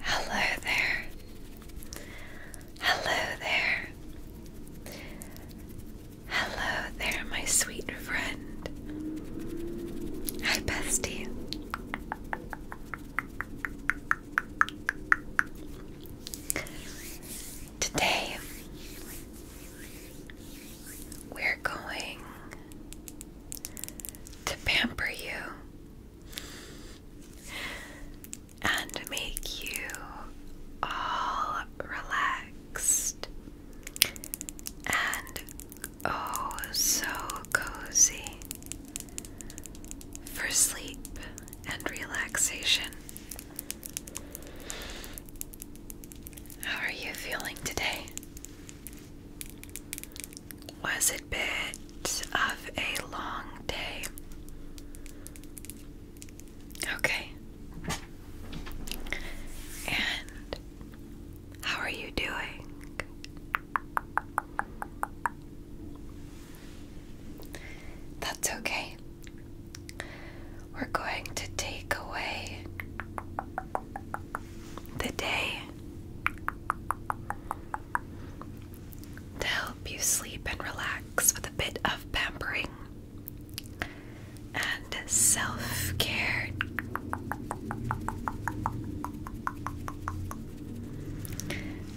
Hello there. Hello there. Hello there, my sweet friend. Hi, bestie. Today, we're going to pamper you and make you all relaxed and oh so cozy for sleep and relaxation. How are you feeling today? Was it bit of a long day? Okay. And how are you doing? That's okay. We're going to take away the day to help you sleep and relax with a bit of pampering and self care.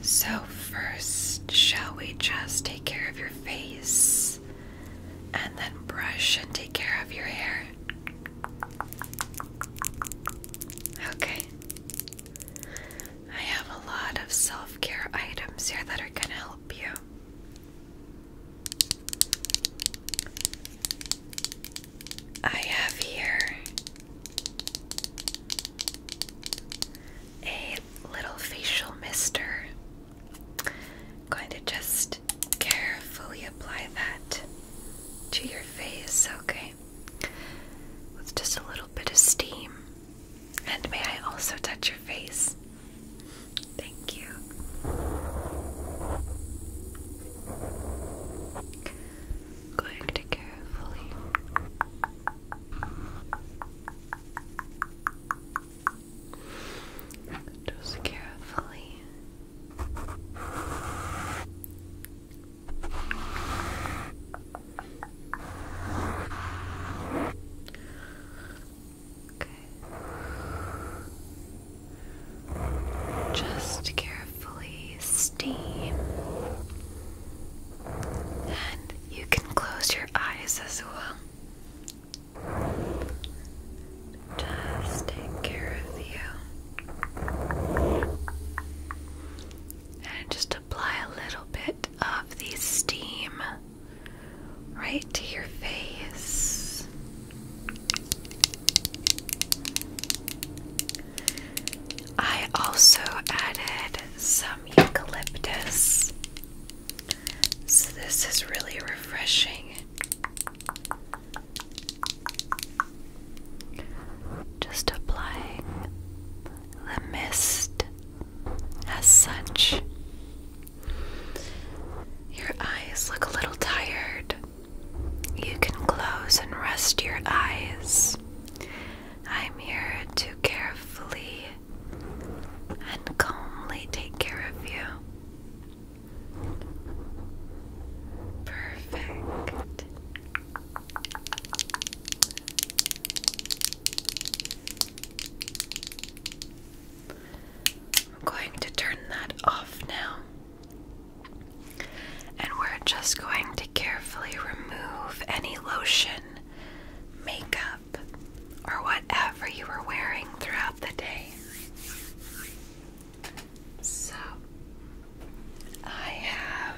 So, first, shall we just take care of your face and then brush and take care of your hair? Okay. I have a lot of self care items here that are going to help you. I have here a little facial mister. I'm going to just carefully apply that to your face, okay? with just a little bit of steam. And may I also touch your face? Thank you. Going to carefully just carefully Okay. Just carefully steam. And you can close your eyes as well. Just take care of you and just apply a little bit of the steam right to your face. I also added some eucalyptus, so this is really refreshing. Just applying the mist as such. Your eyes look a little tired. You can close and rest your eyes. I'm here to carefully and calmly take care of you. Perfect. I'm going to turn that off now. And we're just going to carefully remove any lotion, makeup, or whatever you were wearing throughout the day. So, I have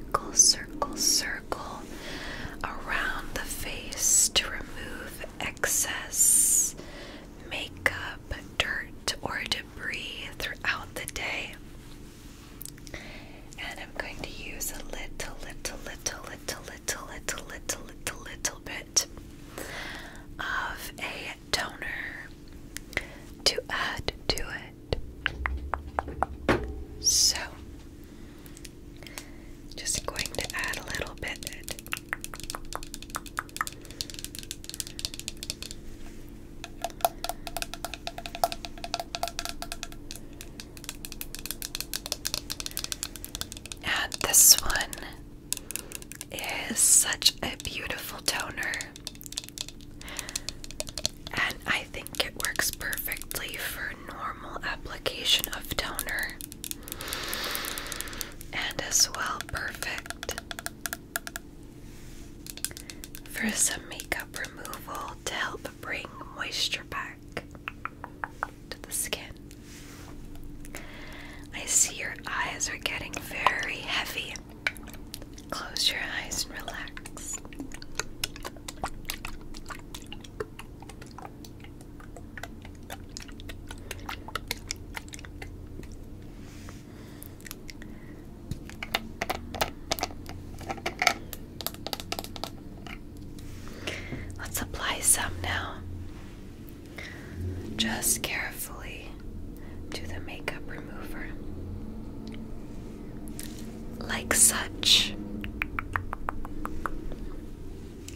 circle, circle, circle around the face to remove excess makeup, dirt, or debris throughout the day. And I'm going to use a little, little, little, little, little, little, little, little, little bit of a toner to add to it. So, just going to add a little bit. And this one is such a beautiful toner. And I think it works perfectly for normal application of toner. And as well, perfect for some makeup removal to help bring moisture back to the skin. I see your eyes are getting very heavy. Close your eyes and relax. Let's apply some now. Just carefully to the makeup remover like such.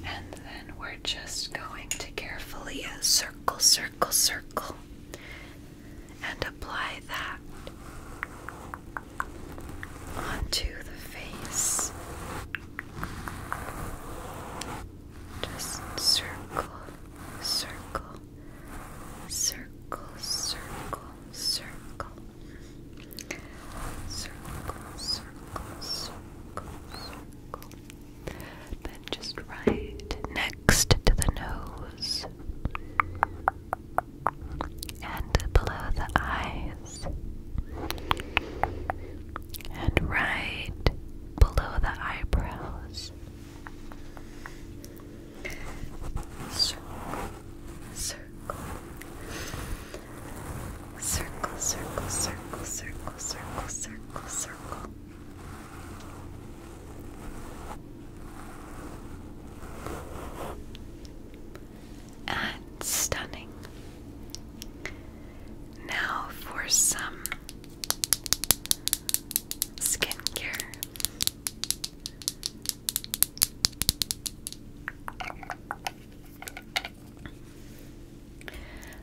And then we're just going to carefully circle, circle, circle, and apply that onto the face. Just circle, circle, circle, circle, circle, circle, circle, circle, circle. Then just right next to the nose and below the eyes. And right below the eyebrows, Circle, circle, circle, circle, circle, circle, circle, circle, And stunning. Now for some skincare.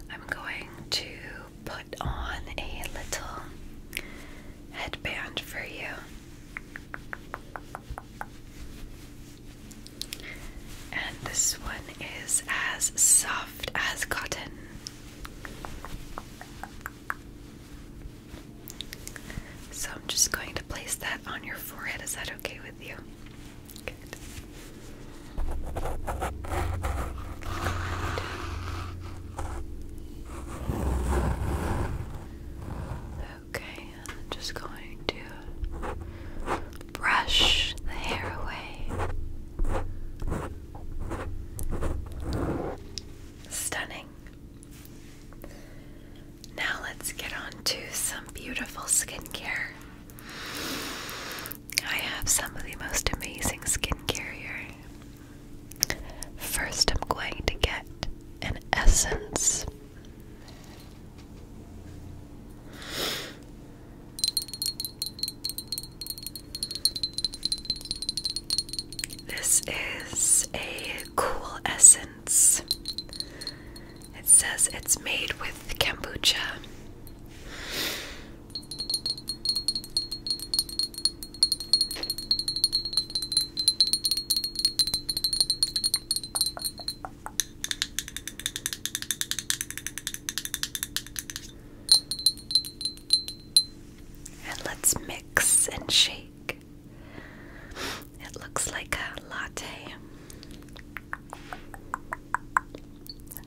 I'm going to put on a little headband for you. And this one is as soft as cotton. So I'm just going to place that on your forehead. Is that okay with you? Good. Okay, I'm just going to brush the hair away. Stunning. Now let's get on to some beautiful skincare. I have some of the most amazing skincare here. First, I'm going to get an essence. This is a cool essence. It says it's made with kombucha. And let's mix and shake it looks like a latte.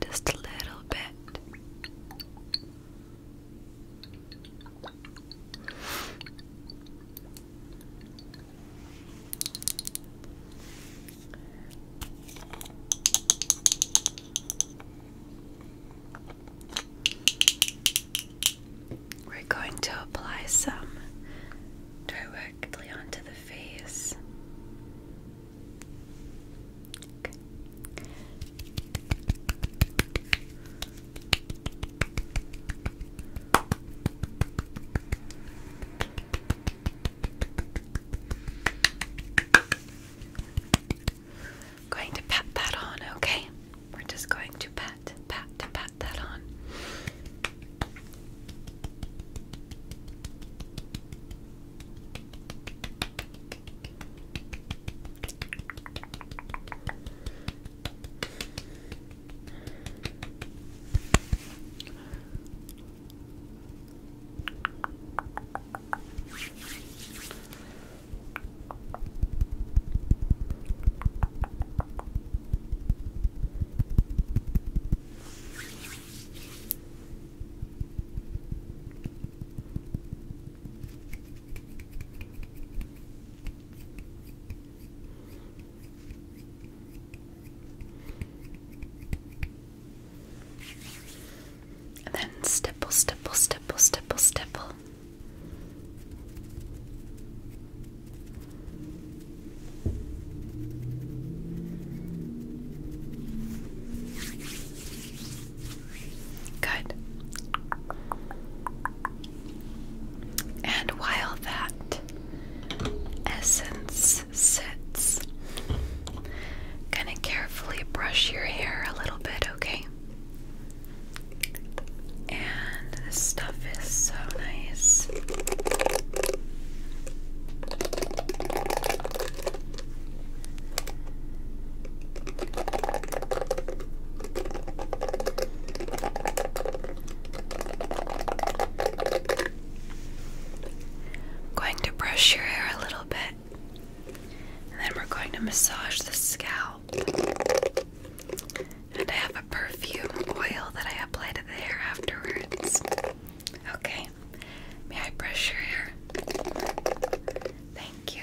Just a little bit. We're going to apply some directly onto the face. going to pat that on, okay? We're just going to pat pat, pat, pat that on. And then stipple, stipple, stipple, stipple, stipple. Good. And while that essence sits, gonna carefully brush your hair a little bit, okay? And this stuff is so nice. Going to brush your hair a little bit, and then we're going to massage the scalp. And I have a perfume oil that I apply to the hair afterwards. Okay, may I brush your hair? Thank you.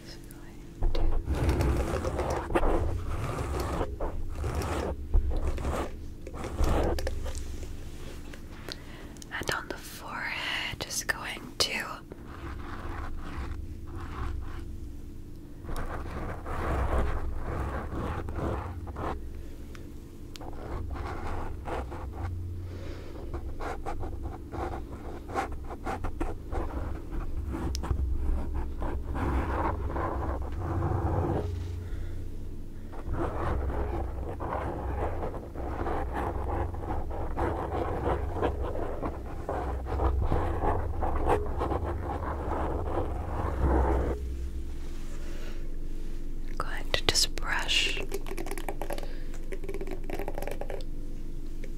just going to and on the forehead, just going to I'm going to just brush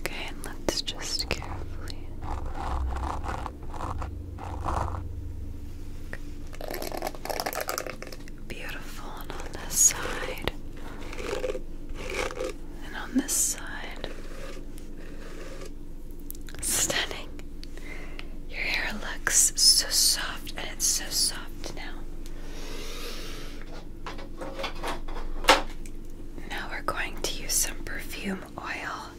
Okay, let's just carefully. Beautiful, and on this side, and on this side. Stunning. Your hair looks so soft, and it's so soft now. Now we're going to use some perfume oil.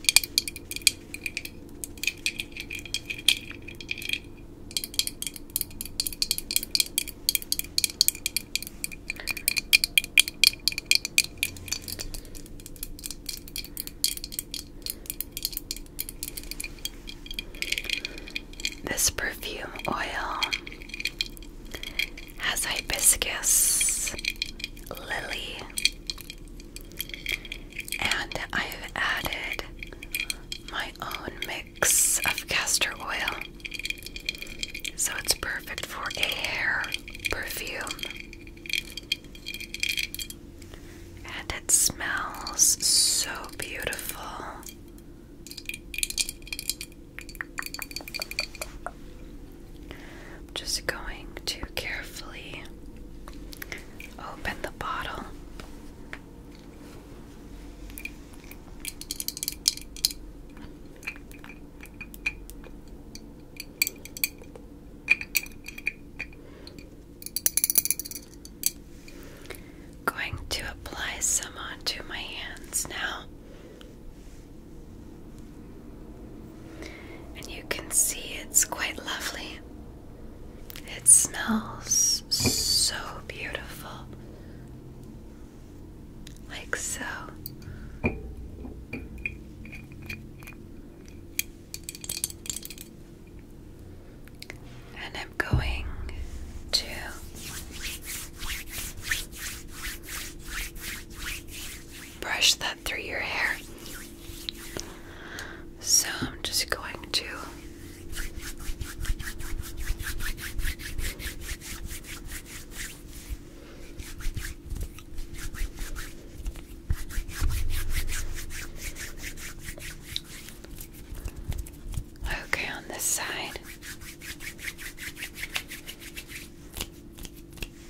This perfume oil has hibiscus, lily, and I've added my own mix of castor oil. So it's perfect for a hair perfume. And it smells so beautiful. I'm just going to carefully open the bottle. Going to apply some onto my hands now. And you can see it's quite lovely. It smells so beautiful. Like so. And I'm going to brush that through your hair. So I'm just going to Okay, on this side.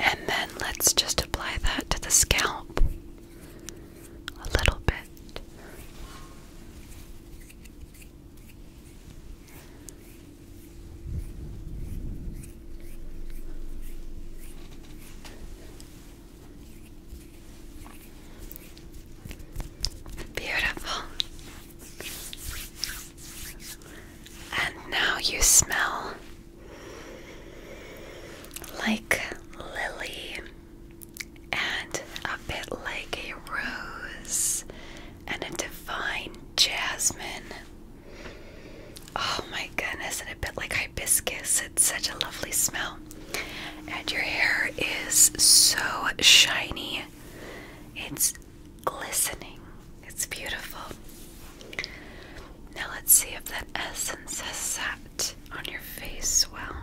And then let's just apply that to the scalp a little bit. Beautiful. And now you smell like lily and a bit like a rose and a divine jasmine. Oh my goodness, and a bit like hibiscus. It's such a lovely smell. And your hair is so shiny. It's glistening. It's beautiful. Now let's see if that essence has sat on your face well.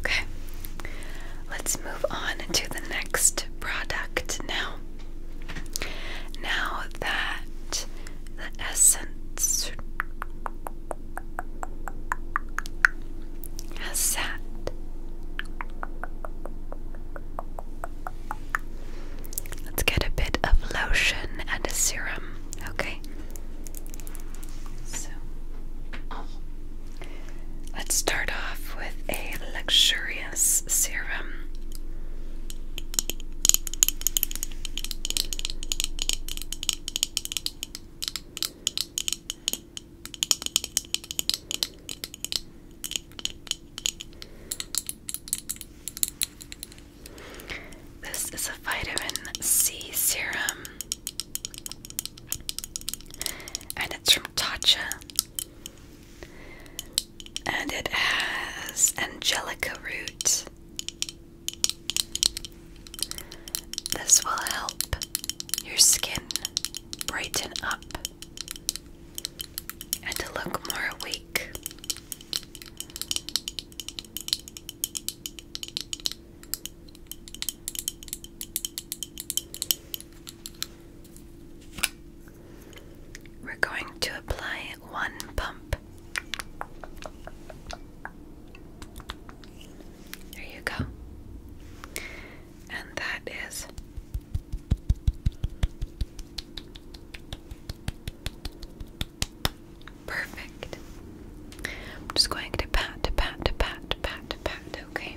Okay, let's move on to the next product now. Now that the essence has sat, let's get a bit of lotion and a serum, okay? So, let's start off with a luxurious. Serum. This is a vitamin C serum, and it's from Tatcha. And it has angelica root. This will help your skin brighten up and look more awake. We're going to apply one pump. There you go. And that is perfect. I'm just going to pat, pat, pat, pat, pat, okay?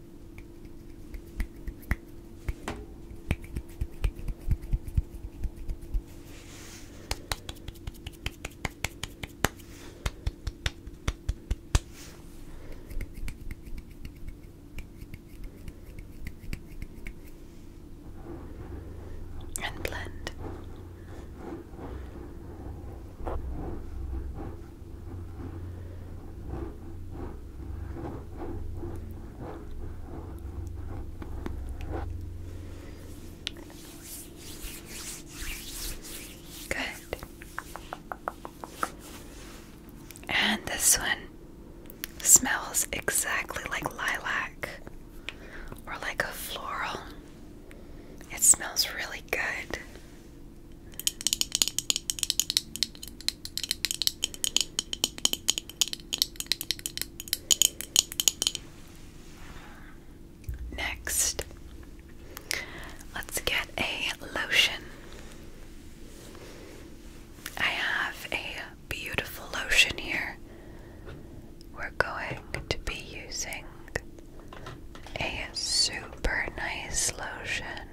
And blend. Good. And this one smells exactly like lilac or like a floral. It smells really good. Next, let's get a lotion. I have a beautiful lotion here. We're going to be using a super nice lotion.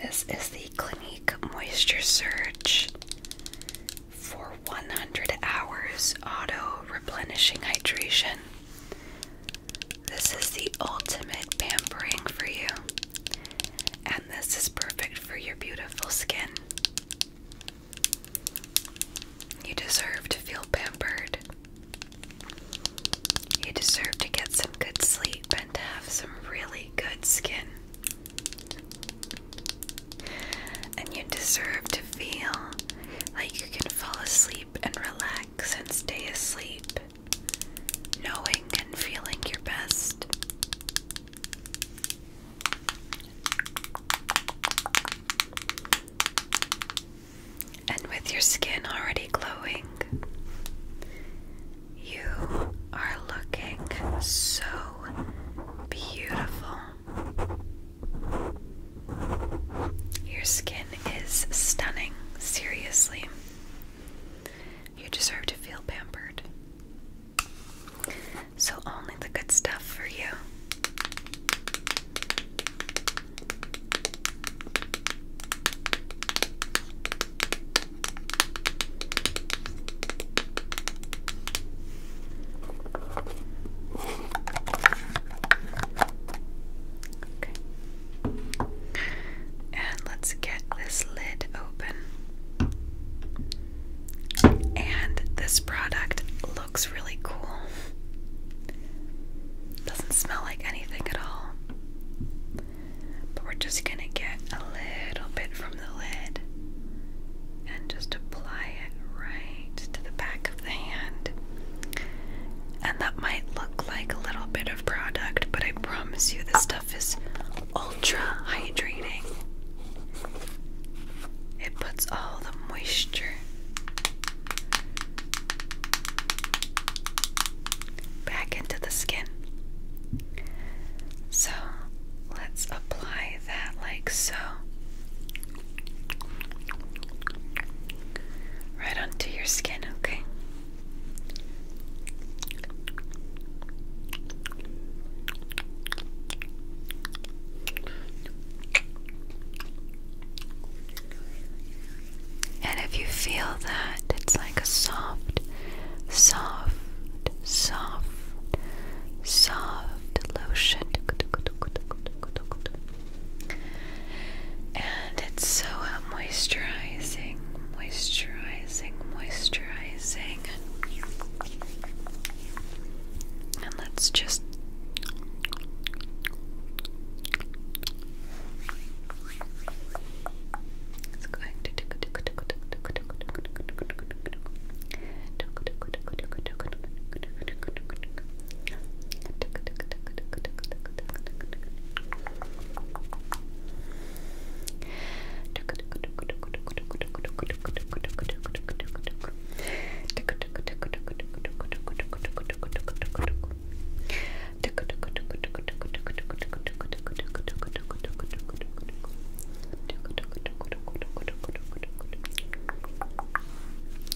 This is the Clinique Moisture Surge for 100 hours auto replenishing hydration. This is the ultimate pampering for you. And this is perfect for your beautiful skin. You deserve to feel pampered. You deserve to get some good sleep and to have some really good skin. And you deserve to feel like you can fall asleep and relax and stay asleep knowing and feeling your best. And with your skin already glowing, you are looking so beautiful. Your skin is stunning, seriously. You deserve to feel pampered. So, only the good stuff for you. Okay. And let's get this lid open. And this product looks really cool. Doesn't smell like anything at all. But we're just going to get a little bit from the lid and just apply it right to the back of the hand. And that might look like a little bit of product, but I promise you this stuff is ultra hydrating. It puts all the moisture back into the skin. So let's apply that like so. Right onto your skin, okay? And if you feel that, it's like a soft, soft, soft, soft lotion. And it's so moisturizing, moisturizing, moisturizing. And let's just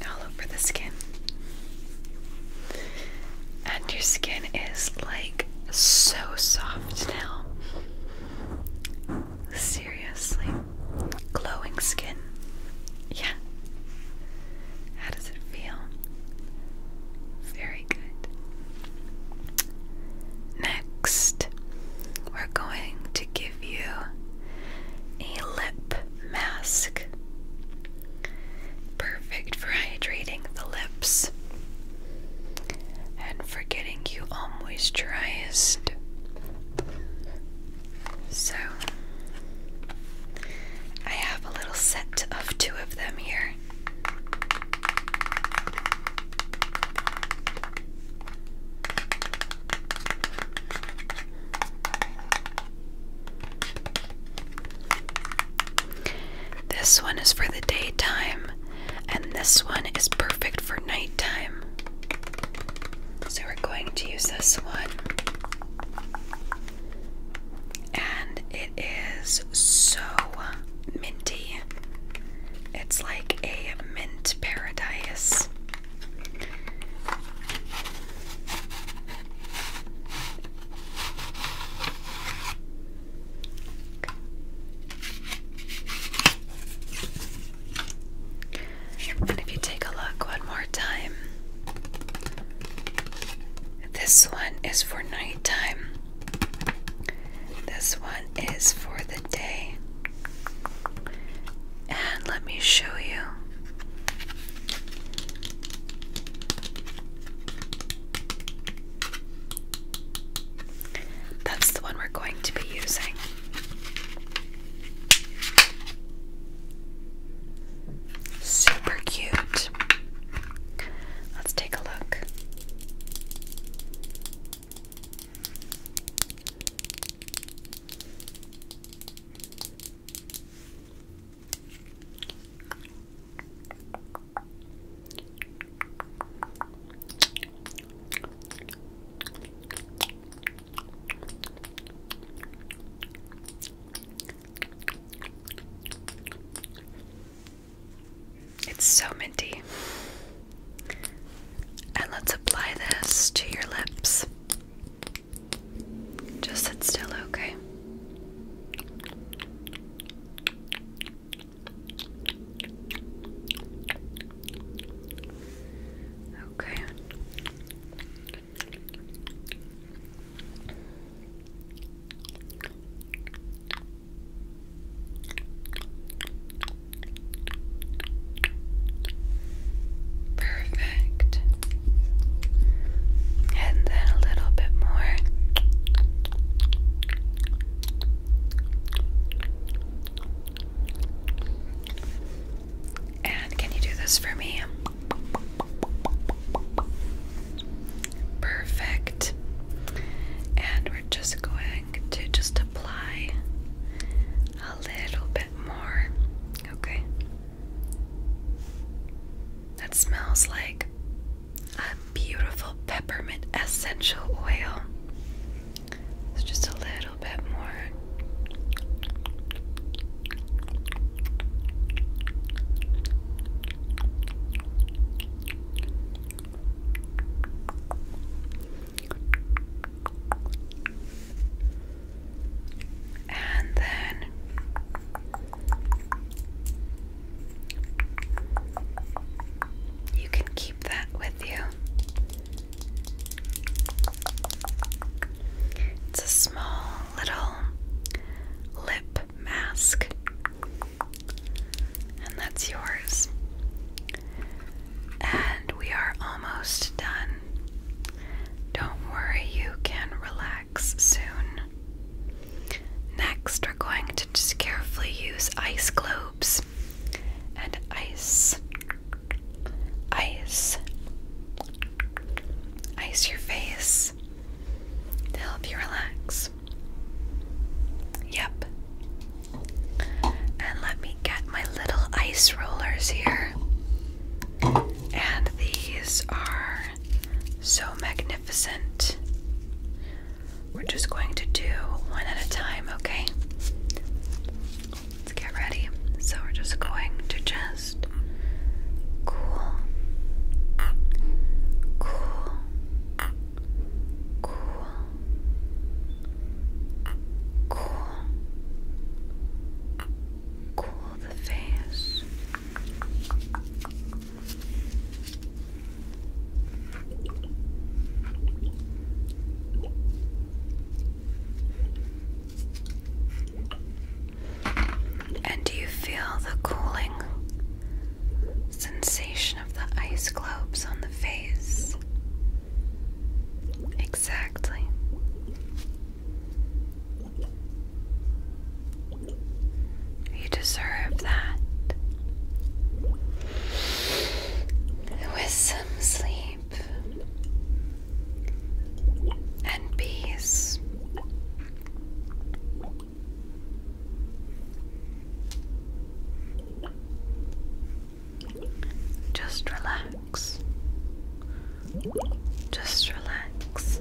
all over the skin. And your skin is like so soft now. Seriously. Glowing skin. Yeah. How does it feel? Very good. Next, we're going to give you a lip mask. Perfect for hydrating the lips and for getting you all moisturized. So, I have a little set of two of them here. This one is for the daytime, and this one is perfect for nighttime. So we're going to use this one. And it is so minty. It's like a mint paradise. And if you take a look one more time, this one is for nighttime. This one is for the day. And let me show you. That's the one we're going to be using. Super cute. Let's take a look. It's so minty. And let's apply this to your lips. Just sit still, okay? Okay. Perfect. And then a little bit more. And can you do this for me? Perfect. And we're just going to just apply a little bit more. Okay. That smells like a beautiful peppermint essential oil. just a little bit more. And then you can keep that with you. It's a small little lip mask, and that's yours. And we are almost done. Don't worry, you can relax soon. Next, we're going to just carefully use ice globes and ice, ice, ice your face to help you relax. Yep. And let me get my little ice rollers here. And these are so magnificent magnificent. We're just going to do one at a time, okay? Let's get ready. So we're just going to just cool, cool, cool, cool, cool the face. And do you feel the cooling sensation of the ice globes on the face? Exactly. You deserve that. With some sleep and peace. Just relax. Just relax.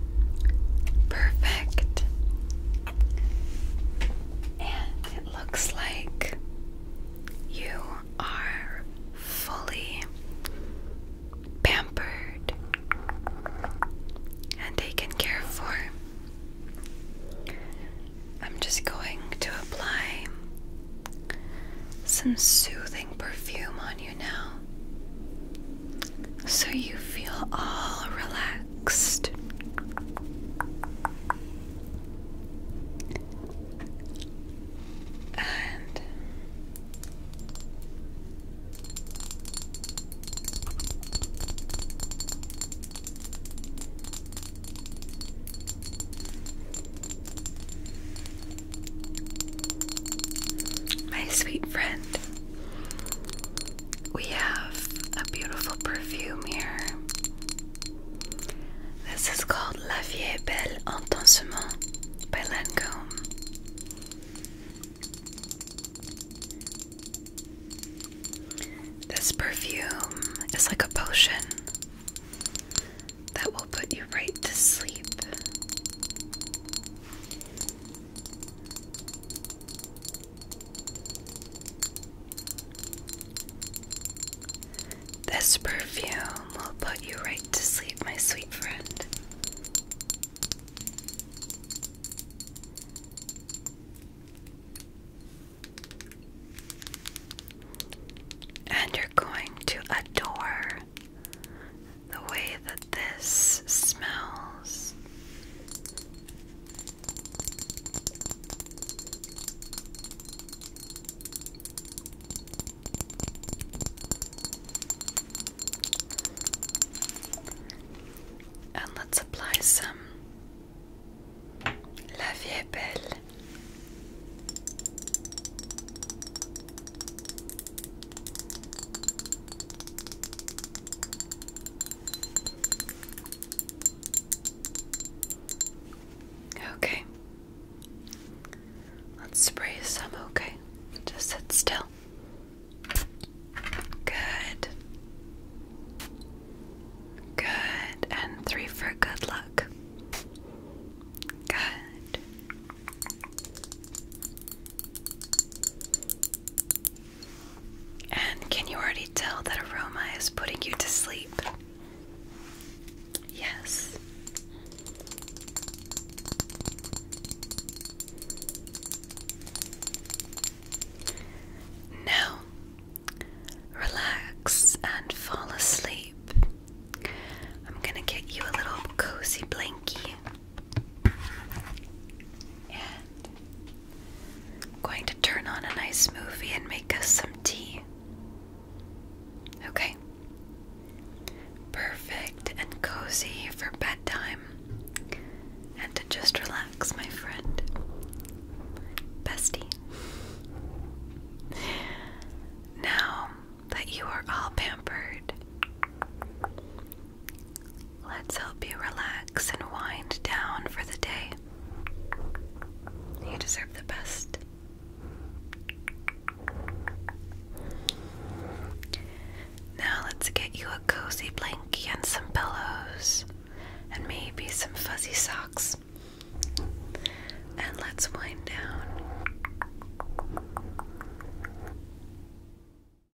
Perfect. And it looks like you are fully pampered and taken care for. I'm just going to apply some soothing perfume on you now so you feel all relaxed. And my sweet friend, we have a beautiful perfume here. This is called La Vie Belle Intensement by Lancome. This perfume is like a potion that will put you right to sleep. This perfume will put you right to sleep, my sweet friend. And you're going to adore the way that this smells. And let's apply some La Vie Belle. Okay. Let's spray some, okay? Just sit still. Good. Good. And three for good luck. Good. And can you already tell that aroma is putting you to sleep? Yes. Now, relax and fall asleep. I'm gonna get you a little cozy blankie. And I'm going to turn on a nice movie and make us some tea. Okay. Perfect and cozy for bedtime and to just relax, my friend. Bestie. Now that you are all pampered, Let's help you relax and wind down for the day. You deserve the best. Now, let's get you a cozy blankie and some pillows, and maybe some fuzzy socks. And let's wind down.